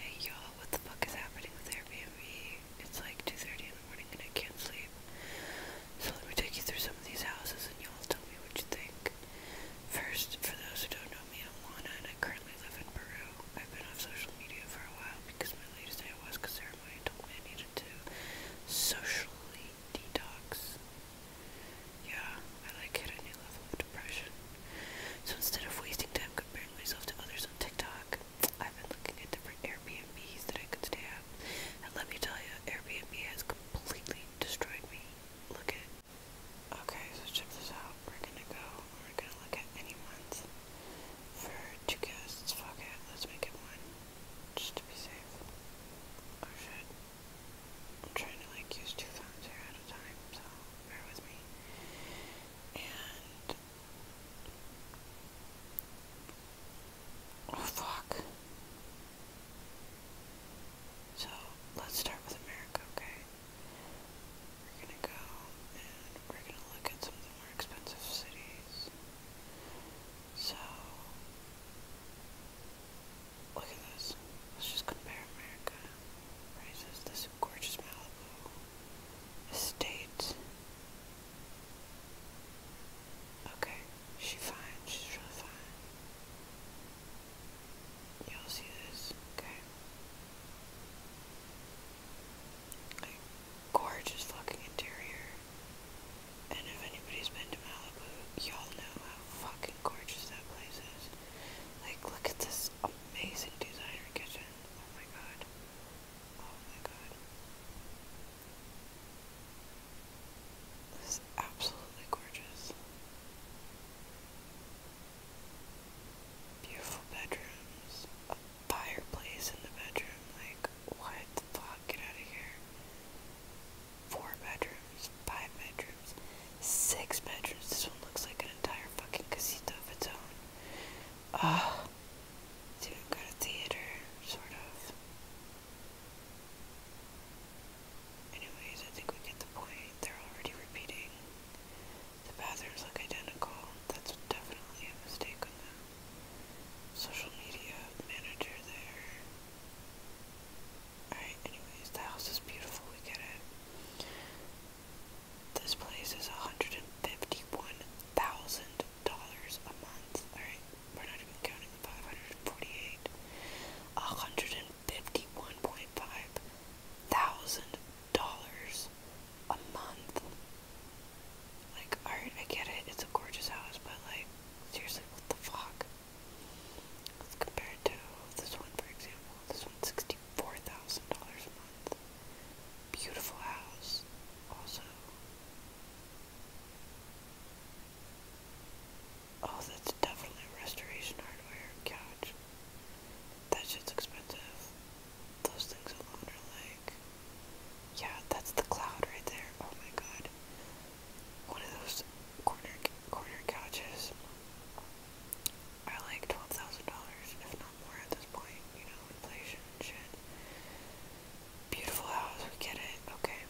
Hey y'all, what the fuck is happening with Airbnb? It's like 2.30 in the morning and I can't sleep. So let me take you through some of these houses and y'all tell me what you think. First, for those who don't know me, I'm Lana and I currently live in Peru. I've been off social media for a while because my latest ayahuasca ceremony told me I needed to socially detox. Yeah, I like hit a new level of depression. So instead of wasting time comparing myself to others on TikTok, I've been looking at different Airbnbs that I could stay at. And let me tell you, Airbnb has completely destroyed me. Look at Okay, so check this out. We're gonna go, we're gonna look at any anyone's for two guests. Fuck it, let's make it one. Just to be safe. Oh shit. I'm trying to like use two phones here time, so bear with me. And oh, fuck. So let's start with America, okay? We're gonna go and we're gonna look at some of the more expensive cities. So look at this. Let's just compare America this gorgeous Malibu estate. Okay, she's fine. She's really fine. Y'all see this? Okay. Like, gorgeous fucking interior. And if anybody's been to Malibu, y'all know how fucking gorgeous that place is. Like, look at this amazing designer kitchen. Oh my god. Oh my god. This is absolutely gorgeous. Beautiful bedrooms. fireplace in the bedroom. Like, what the fuck? Get out of here. Four bedrooms, five bedrooms. Six bedrooms. This one looks like an entire fucking casita of its own. Ah, even got a theater, sort of. Anyways, I think we get the point. They're already repeating. The bathrooms look identical. That's definitely a mistake on the social media manager there. Alright, anyways, the house is beautiful. We get it. This place is $151,000 a month. Alright, we're counting the 548. $151.5 thousand dollars a month. Like, alright, I get it, it's a gorgeous house, but like, seriously, what the fuck? Compared to this one, for example, this one's Four thousand dollars a month. Beautiful house, also. Oh, that's definitely restoration hardware couch. That shit's expensive. Those things alone are like. Yeah, that's the cloud right there. Oh my god. One of those corner corner couches are like twelve thousand dollars, if not more at this point, you know, inflation and shit. Beautiful house, we get it, okay.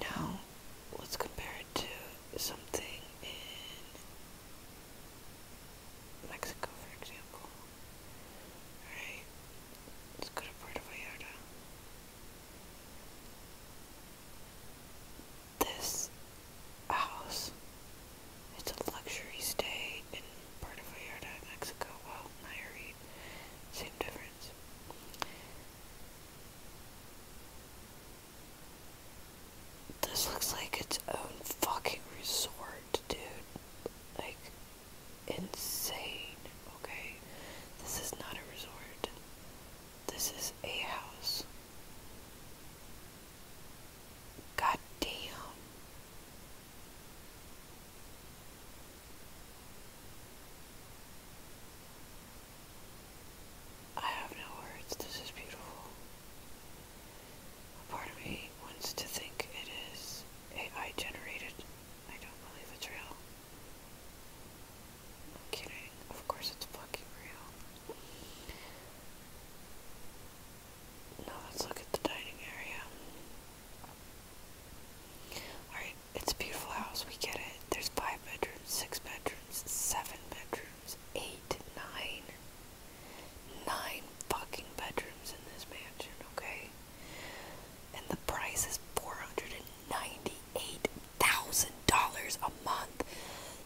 Now let's compare it to something in Mexico, for example. Alright. Let's go to Puerto Vallarta this house. It's a luxury stay in part of Vallarta, Mexico. Well, Nayarit, same difference. This looks like its own fucking resort, dude. Like, insane, okay? This is not a resort. This is a house. God damn. I have no words. This is beautiful. A part of me wants to think it is AI generated. I don't believe it's real kidding. Of course it's fucking real. Now let's look at the dining area. Alright, it's a beautiful house, we get it. There's five bedrooms, six bedrooms, seven bedrooms, eight, fucking bedrooms in this mansion, okay? And the price is 498 thousand dollars a month.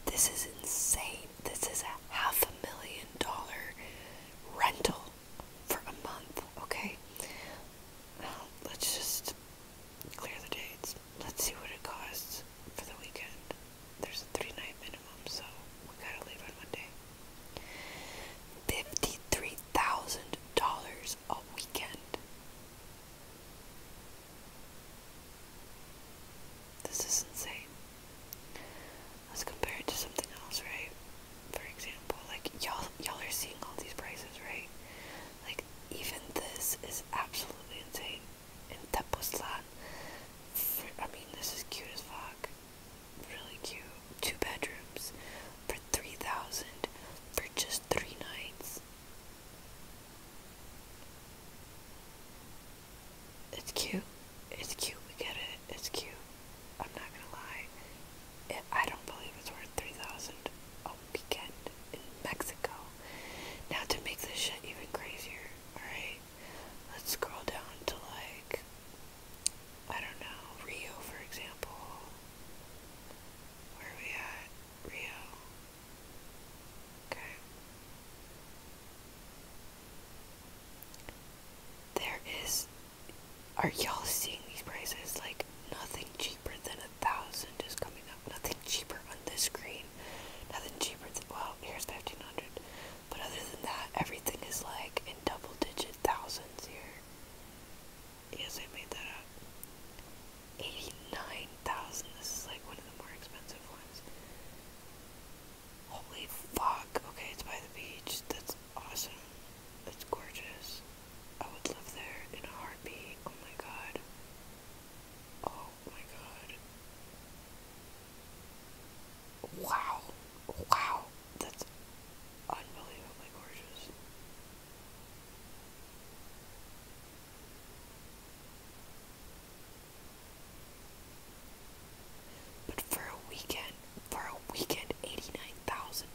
This is insane. This is a half a million dollar rental for a month, okay? let's just clear the dates. Let's see what it costs for the weekend. There's a three night minimum, so we gotta leave on Monday. $53,000 a weekend. This is insane. Let's compare it to something else, right? For example, like y'all y'all are seeing all these prices, right? Like even this is absolutely insane. In Tepoztlan, I mean this is cute as fuck. Really cute. Two bedrooms for three thousand for just three nights. It's cute. It's cute. We get it. It's cute. I'm not gonna lie. It, I don't believe it's worth three thousand a weekend in Mexico. Now to make this shit even crazier, alright? Let's scroll down to like I don't know, Rio for example. Where are we at? Rio. Okay. There is. Are y'all seeing these prices? Like, nothing cheaper than a thousand is coming up. Nothing cheaper on this screen. Nothing cheaper than. Well, here's 1500. But other than that, everything is like in double digit thousands here. Yes, I made that up. Eighty-nine thousand. This is like one of the more expensive ones. Holy fuck! Okay, it's by the beach. That's awesome. That's gorgeous. I would live there in a heartbeat. Oh my god. Oh my god. Wow. Wow. That's unbelievably gorgeous. But for a weekend, for a weekend, eighty-nine thousand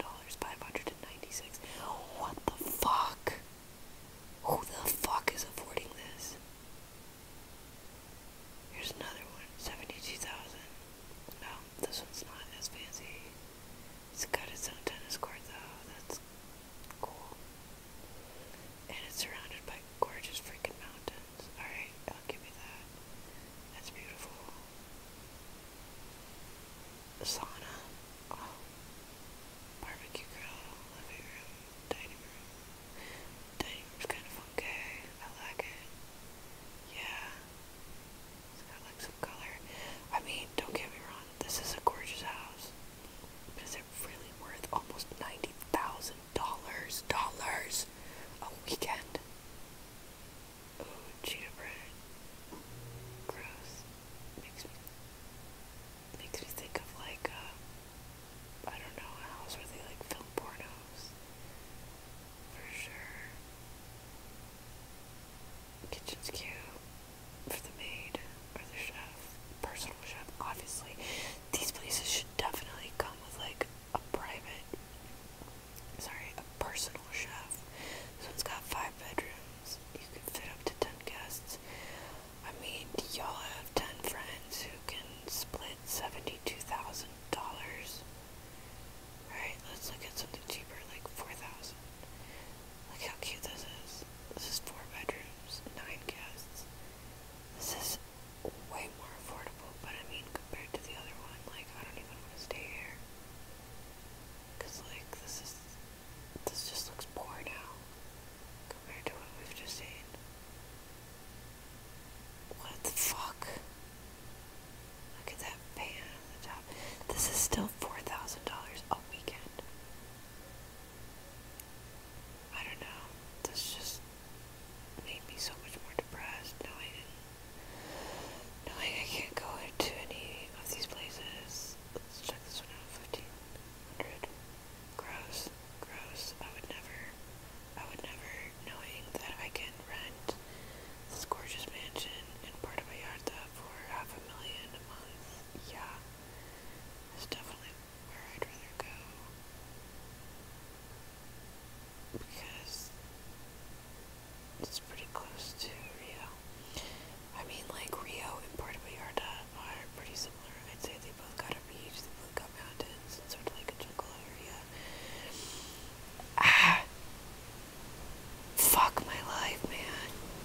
What the fuck? Who the fuck is affording this? Here's another one, seventy-two thousand. No, this one's not as fancy. It's got its own tennis court though. That's cool. And it's surrounded by gorgeous freaking mountains. Alright, I'll give you that. That's beautiful. The sauna. Oh. Barbecue grill, living room, dining room. Dining room's kind of funky. I like it. Yeah. It's got like some color. I mean, don't get me wrong, this is a gorgeous house really worth almost ninety thousand dollars dollars a weekend. Oh, cheetah Gross. Makes me makes me think of like a uh, I don't know a house where they like film pornos. For sure. Kitchen's cute for the maid or the chef, personal chef, obviously. These places should definitely come with like a private, sorry, a personal chef. So it has got five bedrooms. You can fit up to ten guests. I mean, y'all have ten friends who can split seventy-two thousand dollars. Alright, let's look at something cheaper, like four thousand. Look how cute this is. This is four bedrooms, nine guests. This is way more affordable, but I mean, compared to the other one, like, I don't even want to stay here. Because, like, this is. This just looks poor now compared to what we've just seen. What the fuck? Look at that fan on the top. This is still $4,000 a weekend. I don't know. This just made me so much more depressed knowing knowing I can't go into any of these places. Let's check this one out. Fifteen hundred. Gross. Gross. I would never I would never knowing that I can rent this gorgeous mansion in Port of my yard for half a million a month. Yeah. It's definitely where I'd rather go because it's pretty close to Rio. I mean, like, Rio and Puerto Vallarta are pretty similar. I'd say they both got a beach, they both got mountains, and sort of like a jungle area. Ah! Fuck my life, man.